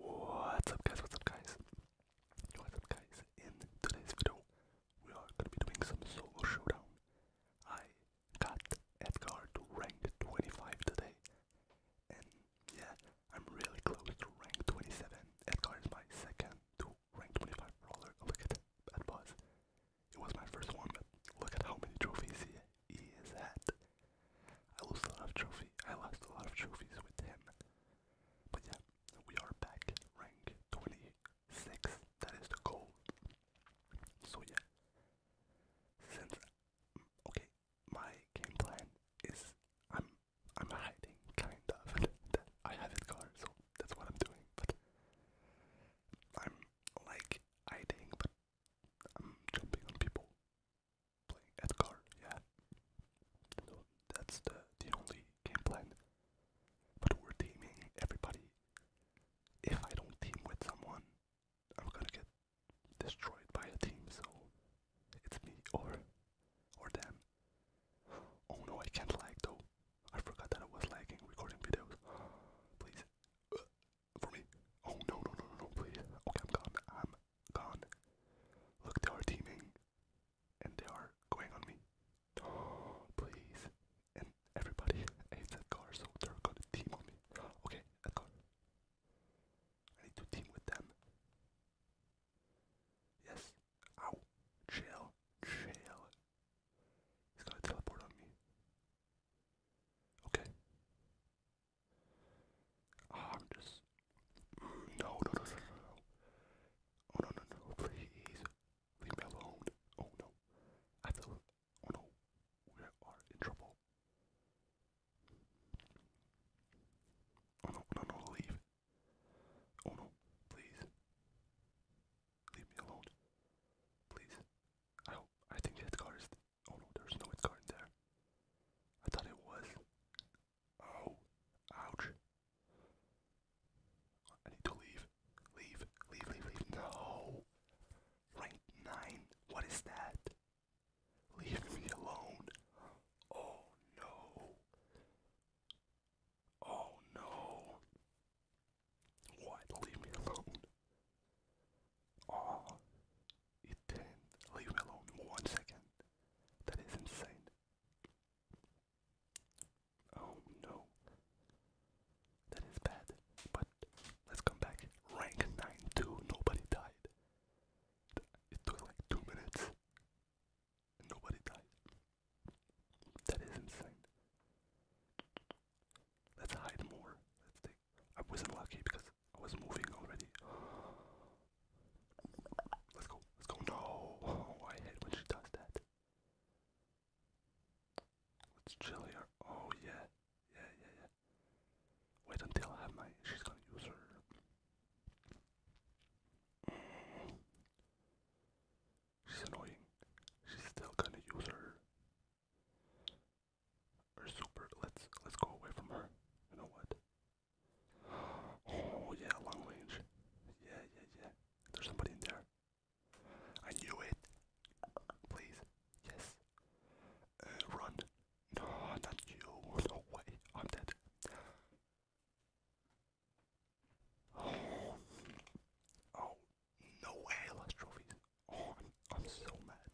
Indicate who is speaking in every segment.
Speaker 1: What's up guys, what's up guys? What's up guys? In today's video, we are gonna be doing some solo showdown. I got Edgar to rank 25 today. And yeah, I'm really close to rank 27. Edgar is my second to rank 25 Look at that buzz. It was my first one, look at how many trophies he, he is at. I lost a lot of trophy. I lost a lot of trophies with him. But yeah, we are back rank 26. That is the goal. So yeah, since okay, my game plan is I'm I'm hiding kind of. I have his car, so that's what I'm doing. But I'm like hiding, but I'm jumping on people playing Edgar, yeah. So that's the, the only game plan. But we're teaming everybody. If I don't team with someone, I'm gonna get destroyed by a team, so it's me or or them. Oh no, I can't lag though. I forgot that I was lagging recording videos. Please for me. Oh no no no no no please. Okay, I'm gone. I'm gone. Look, they are teaming, and they are going on me. please. And everybody hates that car, so they're gonna team on me. Okay, that car. I need to team with them. Yes. Ow. Chill. Chill. He's gonna teleport on me. Okay. Ah, I'm just no, no, no, no, no. Oh no, no, no, please leave me alone. Oh no, I feel. Oh no, we are in trouble. Oh no, no, no, leave. Oh no, please leave me alone. Please. I I think that car Oh no, there's no Enskarn there. I thought it was. Oh, ouch. I need to leave. Leave, leave, leave, leave. No! Rank 9, what is that? Leave me alone. Oh no. Oh no. Why leave me alone? oh, it didn't leave me alone one second. That is insane. Oh no. That is bad. But let's come back. Rank 9-2, nobody died. It took like two minutes. nobody died. That is insane. Let's hide more. Let's take. I wasn't lucky because I was moving already. Let's go. Let's go. No. Oh, I hate when she does that. Let's chill Oh yeah. Yeah, yeah, yeah. Wait until I have my. She's gonna use her. She's annoying. She's still gonna use her or super. Let's let's go away from her. You know what? Oh yeah, long range. Yeah, yeah, yeah. There's somebody in there. I knew it. Please. Yes. Uh, run. No, not you. No way. I'm dead. Oh, oh no way, I trophies. Oh, I'm, I'm so mad.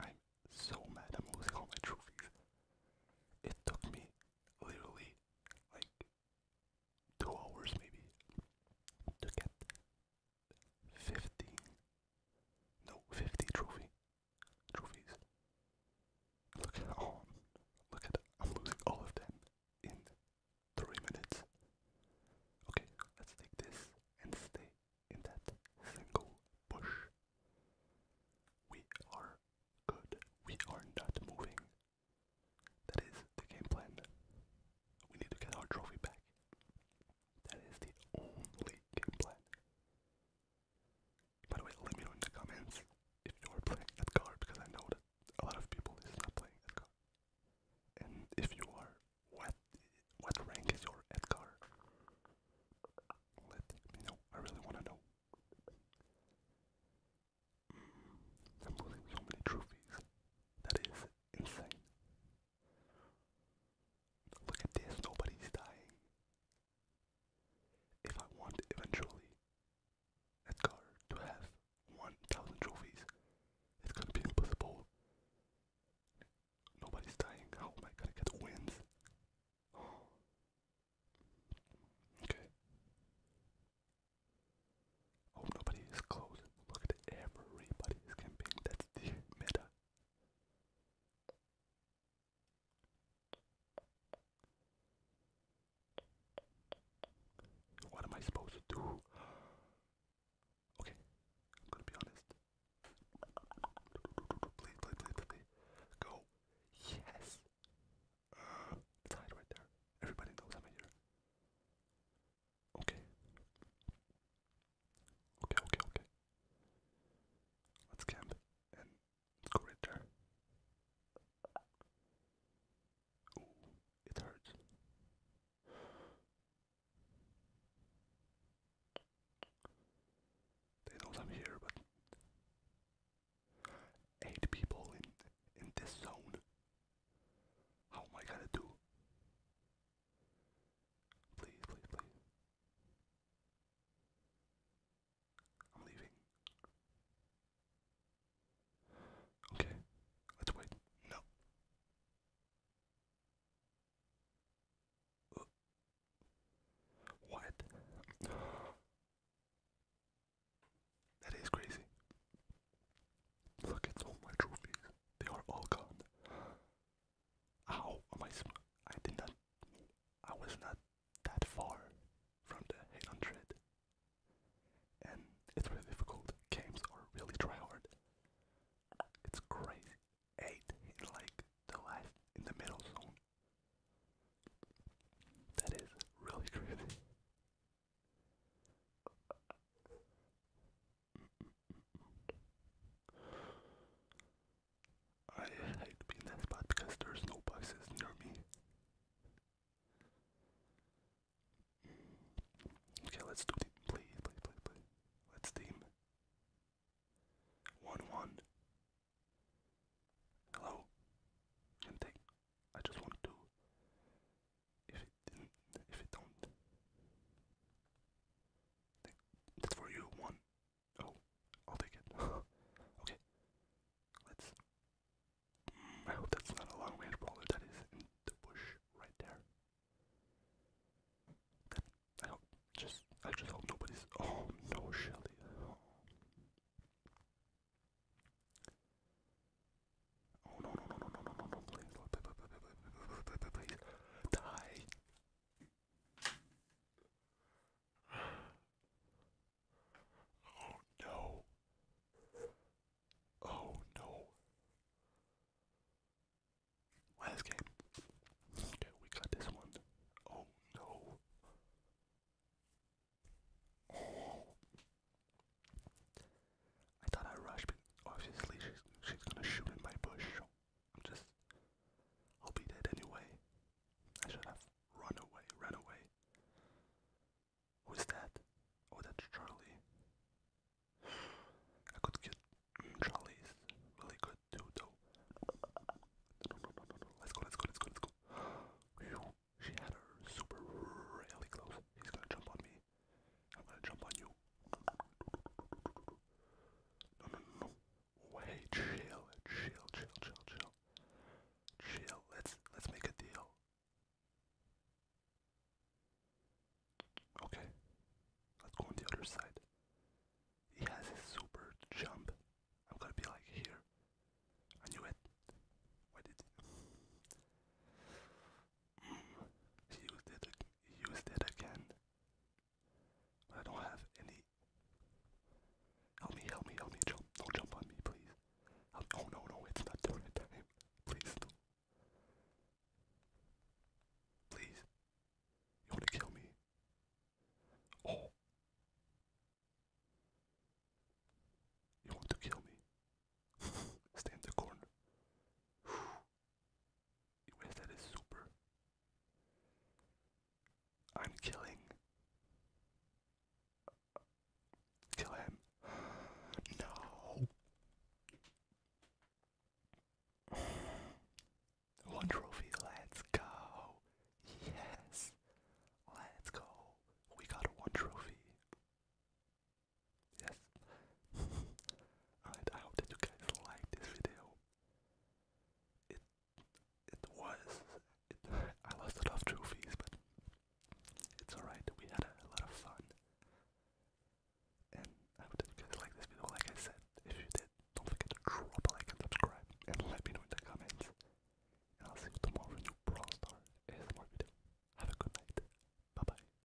Speaker 1: I'm so mad. I'm losing all my trophies. It took me literally like two hours maybe to get 50 no 50 trophy trophies look at all oh, look at i'm losing all of them in three minutes. Okay, let's take this and stay in that single bush. We are good. We are not moving. That is the game plan. We need to get our trophy back. That is the only game plan. By the way, let me know in the comments if you are playing that card because I know that a lot of people is not playing Edgar. And if you are, what what rank is your Edgar? Let me know. I really wanna know. Mm, I'm losing so many trophies. That is insane. Look at this, nobody's dying. If I want eventually Edgar to have 1,000 trophies. It's gonna be impossible. Nobody's dying. How am I gonna get wins? okay. Oh, nobody is close. Look at everybody camping. That's the meta. What am I supposed to do? Okay, I'm gonna be honest. Go. Yes. it's right there. Everybody knows I'm here. Okay. Okay, okay, okay. Let's camp Corrector. it hurts. They know I'm here, but eight people in in this zone. How am I gonna do? Please, please, please. I'm leaving. Okay, let's wait. No. Uh. what? That is crazy. Look at all my trophies. They are all gone. How am I? I did not. I was not that far from the 800. And it's really difficult. Games are really try hard. It's crazy. 8 in like the last, in the middle zone. That is really crazy. I hate being in that spot because there's no boxes near me. Okay, let's do Play, play, play, play. Let's team. 1 1. Hello? Can take. I just want to. If it didn't. If it don't. That's for you. 1. Oh, I'll take it. okay. Let's. I hope that's not a long range brawler that is in the bush right there. That, I hope. Just. I just hope nobody's. Oh no, Shelly. Oh. no no no no no no no no please die Oh no. Oh no. Last game. Okay, we got this one. Oh no. I thought I rushed, but obviously she's, she's gonna shoot in my bush. I'm just. I'll be dead anyway. I should have run away, Run away. Who's that? Oh, that's Charlie. I could get mm, Charlie's really good too, though. No, no, no, no, no. Let's go, let's go, let's go, let's go. She had her super really close. He's gonna jump on me. I'm gonna jump on you. no, no, no way. Chill, chill, chill, chill, chill. Chill. Let's let's make a deal. Okay. Let's go on the other side. He has his super jump. I'm gonna be like here. I knew it. Why did he? Mm. He used it. He used it again. I don't have any. Help me, help me, help me, jump. Don't jump on me, please. oh no, no, it's not the right time. Please Please. You wanna kill me? Oh. You want to kill me? Stay in the corner that is super? I'm killing. Kill him. No. One trophy, let's go. Yes. Let's go. We got one trophy. Yes. Alright, I hope that you guys liked this video. It it was I lost a lot of trophies, but it's alright. We had a, lot of fun. And I hope that you guys like this video. Like I said, if you did, don't forget to drop a like and subscribe and let me know in the comments. And I'll see you tomorrow in your Brawl Stars ASMR video. Have a good night. Bye bye.